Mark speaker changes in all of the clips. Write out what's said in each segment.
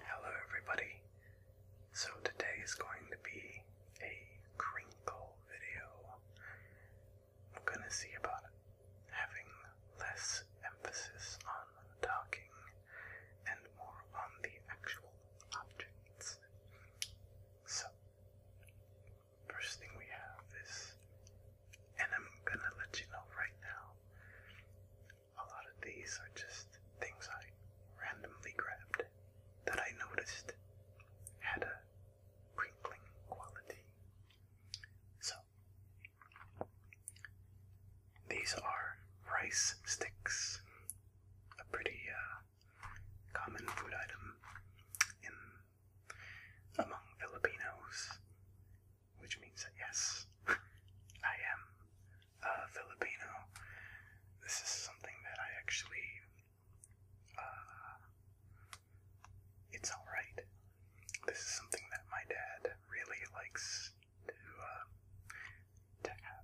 Speaker 1: Hello everybody. So today is going to be a crinkle video. I'm gonna see about having less emphasis on talking and more on the actual objects. So first thing we have is and I'm gonna let you know right now a lot of these are just things I randomly grabbed that I noticed had a crinkling quality. So, these are rice sticks, a pretty uh, common food item among Filipinos, which means that yes, I am uh, Filipino. This is something that I actually. Uh, it's alright. This is something that my dad really likes to, uh, to have.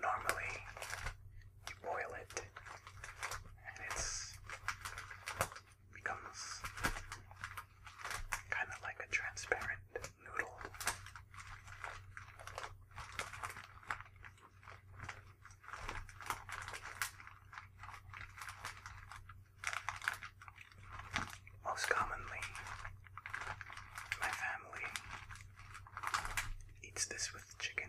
Speaker 1: Normally, you boil it and it's becomes kind of like a transparent noodle. Most commonly, my family eats this with chicken.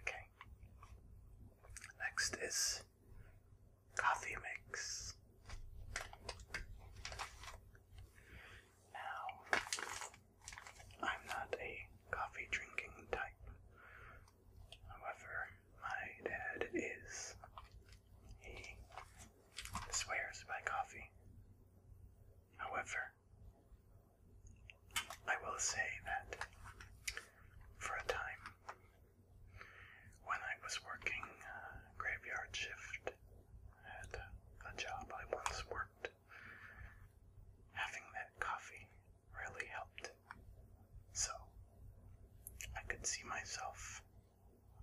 Speaker 1: Okay. Next is coffee mix. Now, I'm not a coffee drinking type. However, my dad is. He swears by coffee. However, I will say that for a time when I was working uh, graveyard shift at a job I once worked. Having that coffee really helped. So, I could see myself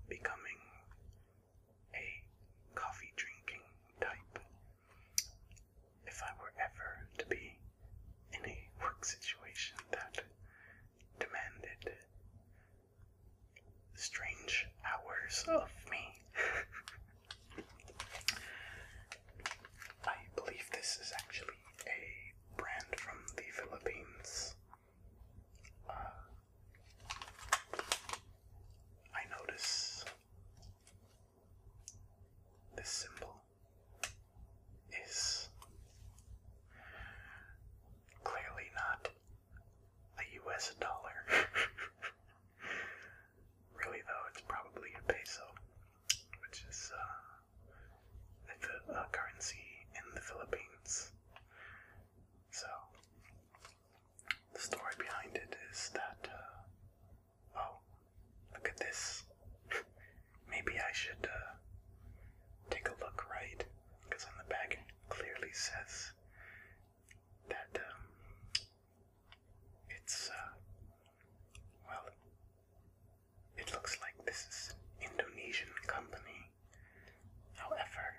Speaker 1: becoming a coffee drinking type if I were ever to be in a work situation that demanded strange hours of me. I believe this is actually a brand from the Philippines. Uh, I notice this symbol is Clearly not a US dollar. really, though, it's probably a peso, which is a uh, uh, currency in the Philippines. So, the story behind it is that, uh, oh, look at this. Maybe I should take a look right, because on the back clearly says that um, it's, uh, well, it looks like this is Indonesian company. However,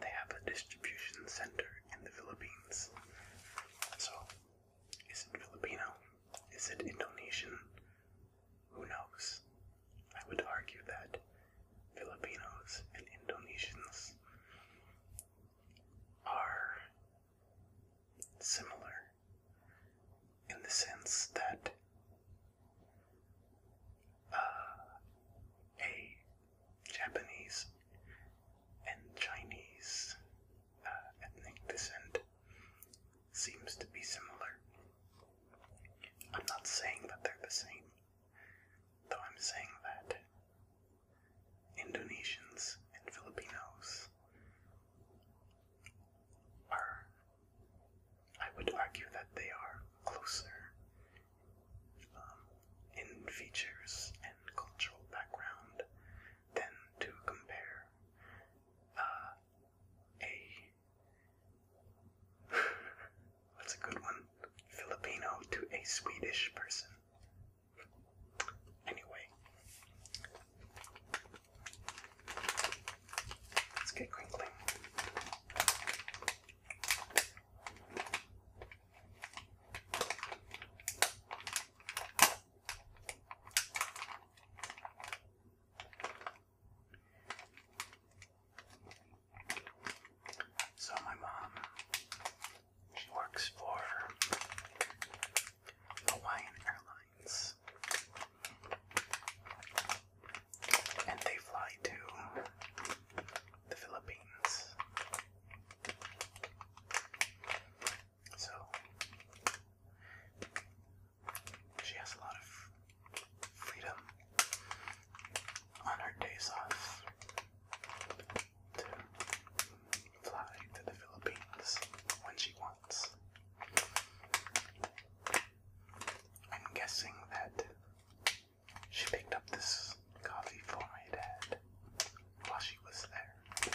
Speaker 1: they have a distribution center in the Philippines. So, is it Filipino? Is it Indonesian? Who knows? I would argue that Filipinos and Indonesians are similar in the sense that uh, a Japanese and Chinese uh, ethnic descent seems to be similar. I'm not saying that they're the same, though I'm saying that Indonesians and Filipinos are, I would argue that they are closer um, in features and cultural background than to compare uh, a That's a good one? Filipino to a Swedish person. Anyway, let's get crinkling. So my mom, she works for Hawaiian Airlines, and they fly to the Philippines. So she has a lot of freedom on her days off to fly to the Philippines when she wants. I'm guessing that she picked up this coffee for my dad while she was there.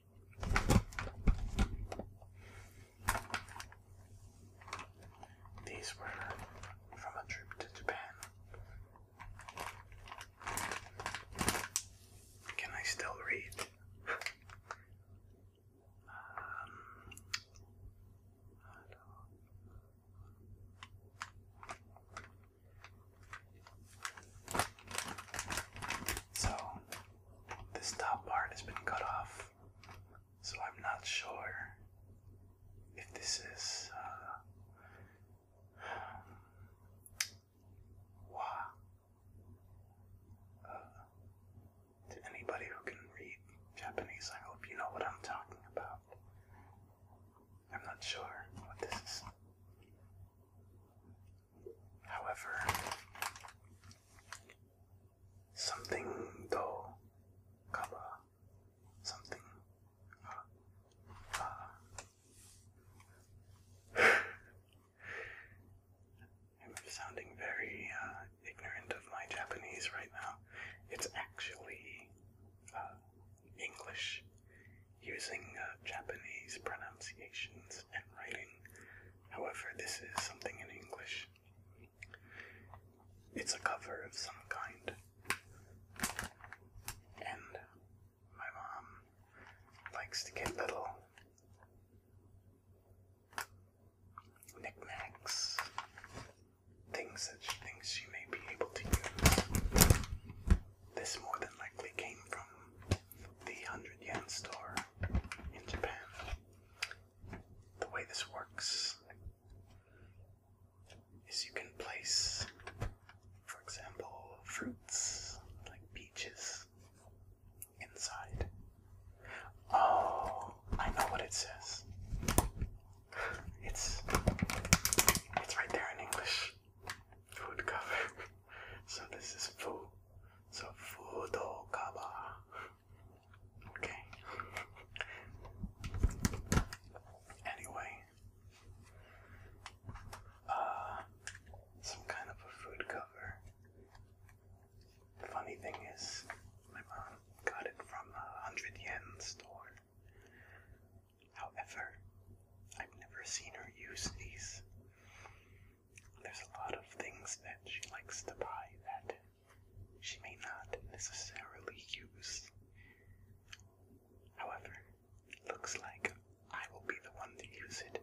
Speaker 1: these were from a trip to Japan. Can I still read? Um, so, this top part has been cut off, so I'm not sure if this is. Uh, uh, to anybody who can read Japanese, I hope you know what I'm talking about. I'm not sure what this is. However, something though, cover something I'm sounding very uh, ignorant of my Japanese right now. It's actually uh, English using uh, Japanese pronunciations and writing. However, this is something in English. It's a cover of some kind. And my mom likes to get little knickknacks, things that she thinks she may be able to use. This more than likely came from the 100 yen store in Japan. The way this works is you can place, for example, fruits like peaches inside. Oh, I know what it says. It's it's right there in English. Food cover. So this is food so Fudokawa. Okay. Anyway, uh, some kind of a food cover. The funny thing is, my mom got it from a hundred yen store. However, I've never seen her use these there's a lot of things that she likes to buy that she may not necessarily use. However, it looks like I will be the one to use it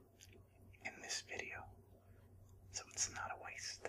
Speaker 1: in this video, so it's not a waste.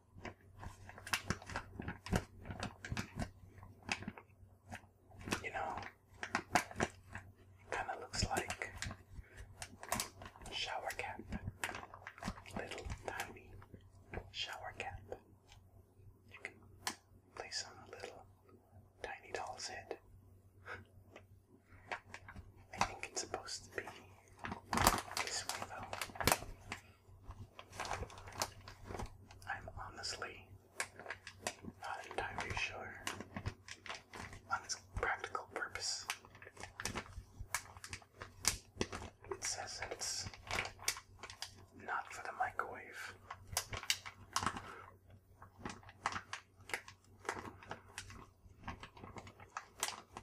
Speaker 1: You know, kind of looks like shower cap, little tiny shower cap. You can place on a little tiny doll's head. I think it's supposed to be this way, though, I'm honestly not entirely sure on its practical purpose. It says that it's not for the microwave.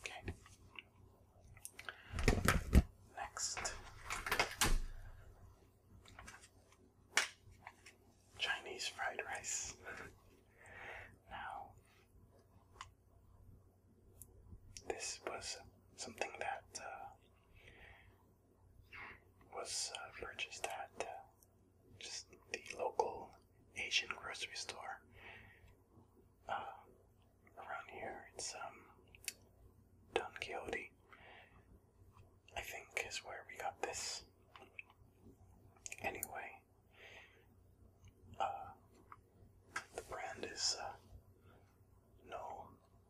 Speaker 1: Okay. Next, Chinese fried rice. now, this was something that uh, was uh, purchased at uh, just the local Asian grocery store around here. It's um, Don Quixote, I think, is where we got this. Anyway, the brand is uh, no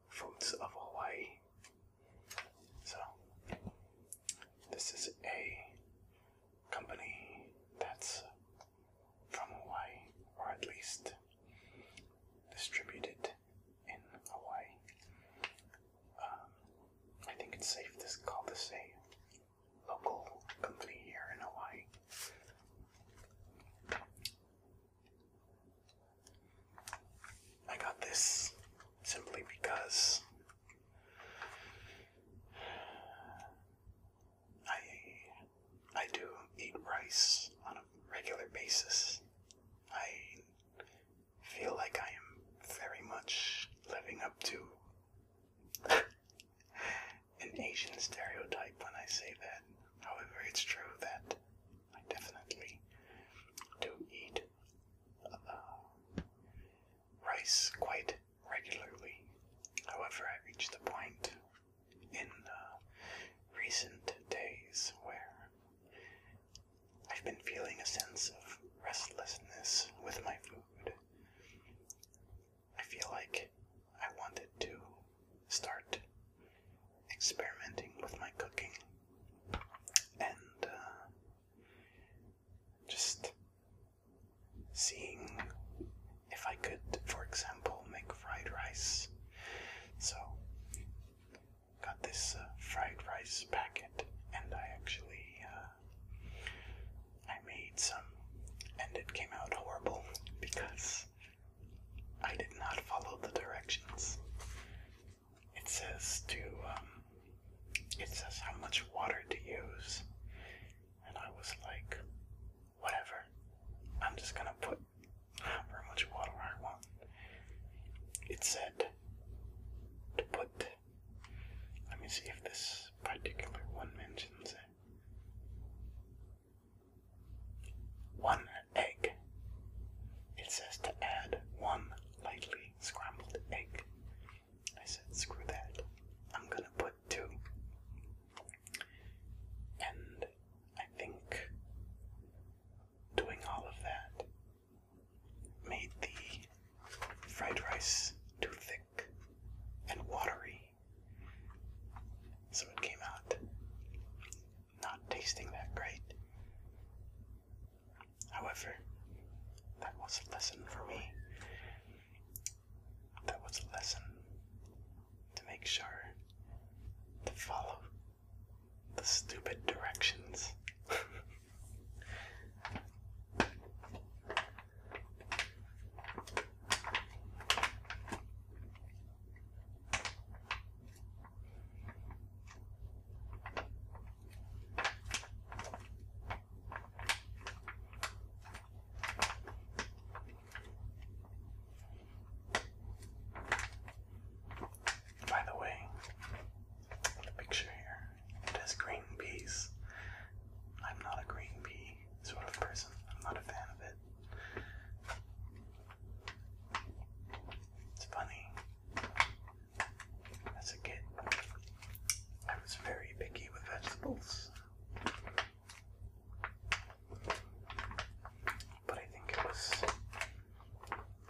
Speaker 1: fruits of Hawaii. So this is a company that's from Hawaii, or at least distributed in Hawaii. Um, I think it's safe to call this a local company here in Hawaii. I got this simply because I I do eat rice on a regular basis. I feel like I am very much living up to an Asian stereotype when I say that. However, it's true that I definitely do eat uh, rice quite regularly. However, I reached the point in uh, recent days where I've been feeling a sense of restlessness with my food. I feel like I wanted to start experimenting with my cooking and uh, just seeing if I could, for example, make fried rice. So, got this uh, fried rice packet, and I actually uh, I made some, and it came out horrible because I did not follow the directions. It says to, um, it says how much water to use. And I was like, whatever. I'm just gonna put however much water I want. It said to put, let me see if this particular one mentions it. One egg. It says to add one lightly scrambled egg. I said, screw that. I'm gonna put two. And I think doing all of that made the fried rice too thick and watery so it came out not tasting that great. However, that was a lesson for me. That was a lesson to make sure to follow the stupid directions. By the way, picture here, it green peas. I'm not a green pea creepy sort of person. I'm not a fan of it. It's funny. As a kid, I was very picky with vegetables. But I think it was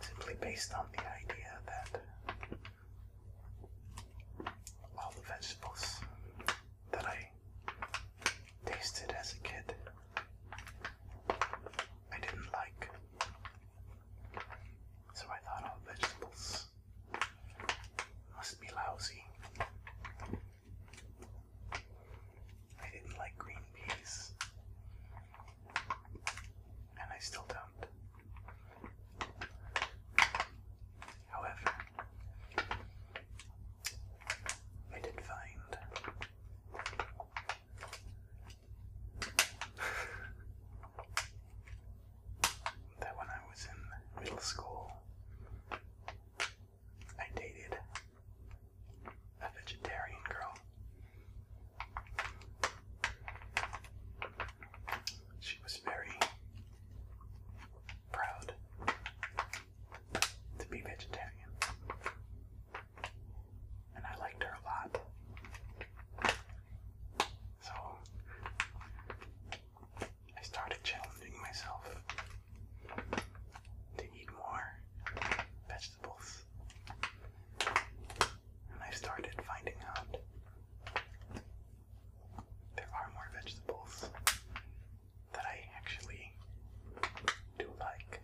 Speaker 1: simply based on the idea that all the vegetables that I tasted as a kid. I didn't like. So I thought all vegetables must be lousy. I didn't like green peas. And I still don't. However, I did find that when I was in middle school, I dated a vegetarian girl. She was very proud to be vegetarian. And I liked her a lot. So I started challenging myself to eat more vegetables. And I started finding out there are more vegetables that I actually do like.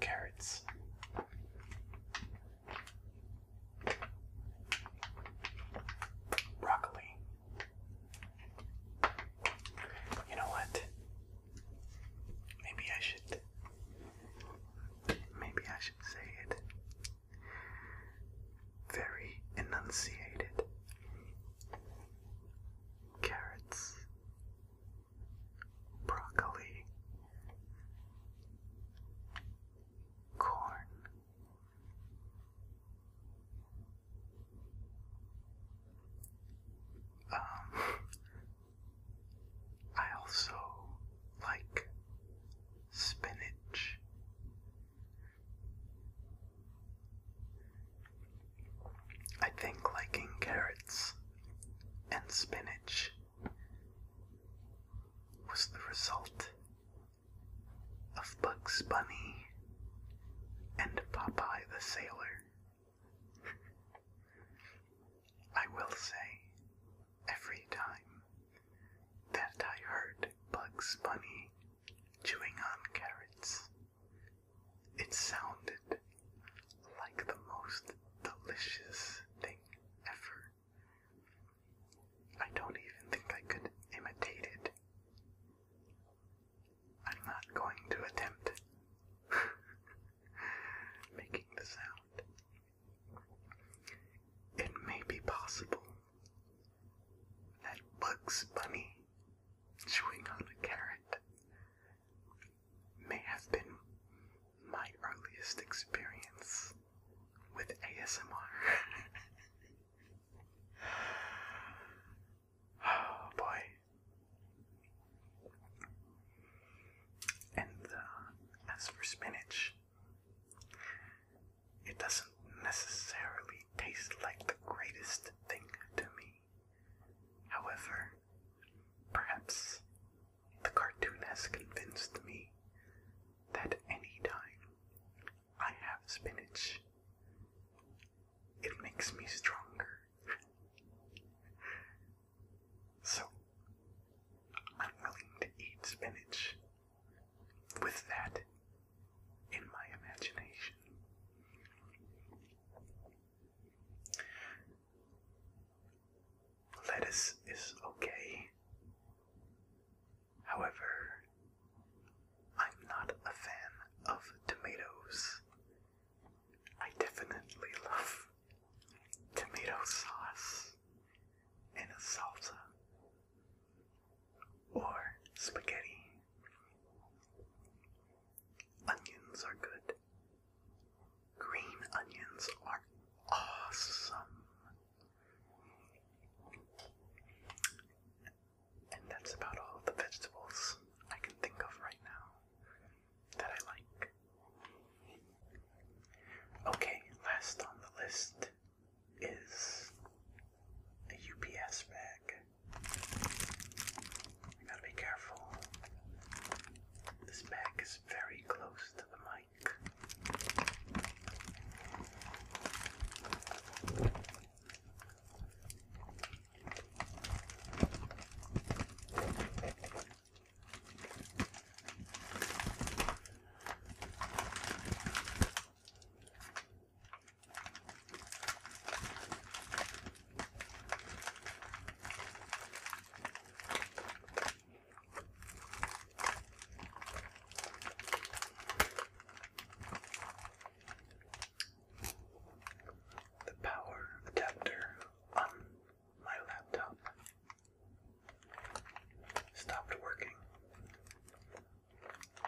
Speaker 1: Carrots. Broccoli. You know what? Maybe I should. Maybe I should say it very enunciated. Carrots, broccoli, corn. Um, I also like spinach. I think liking carrots and spinach was the result of Bugs Bunny and Popeye the Sailor. I will say, every time that I heard Bugs Bunny chewing on carrots. It sounded like the most delicious thing ever. I don't even think I could imitate it. I'm not going to attempt making the sound. It may be possible that Bugs Bunny chewing on a carrot may have been my earliest experience with ASMR. oh boy. And uh, as for spinach, it doesn't necessarily taste like the greatest thing to me. However, perhaps the cartoon has convinced me that any time I have spinach, it makes me stronger. so, I'm willing to eat spinach with that in my imagination. Lettuce is okay. However, I'm not a fan of tomatoes. I definitely love tomato sauce in a salsa or spaghetti. Onions are good. Green onions are awesome. And that's about all the vegetables I can think of right now that I like. Okay, last on the list is a UPS bag. You gotta be careful. This bag is very close to the mic. The power adapter on my laptop stopped working.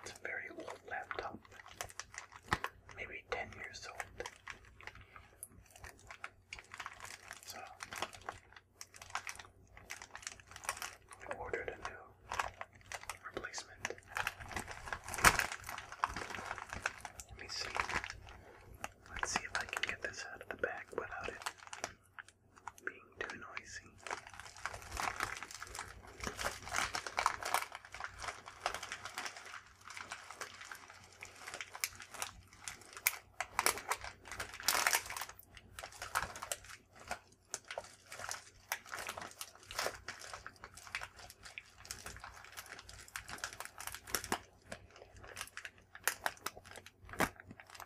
Speaker 1: It's a very old laptop, maybe 10 years old. So, ordered a new replacement. Let me see. Let's see if I can get this out of the bag without it being too noisy.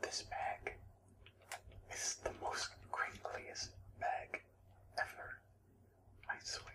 Speaker 1: This bag is the most crinkliest bag ever, I swear.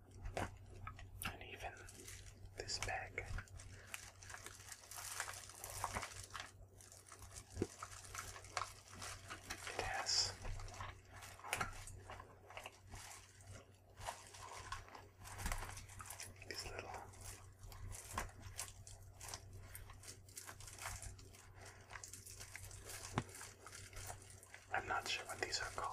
Speaker 1: and even this bag. It has these little I'm not sure what these are called.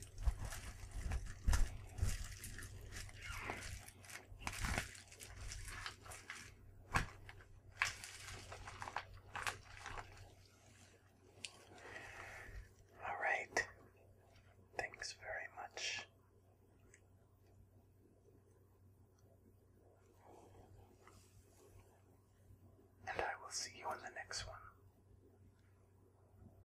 Speaker 1: All right. Thanks very much. And I will see you on the next one.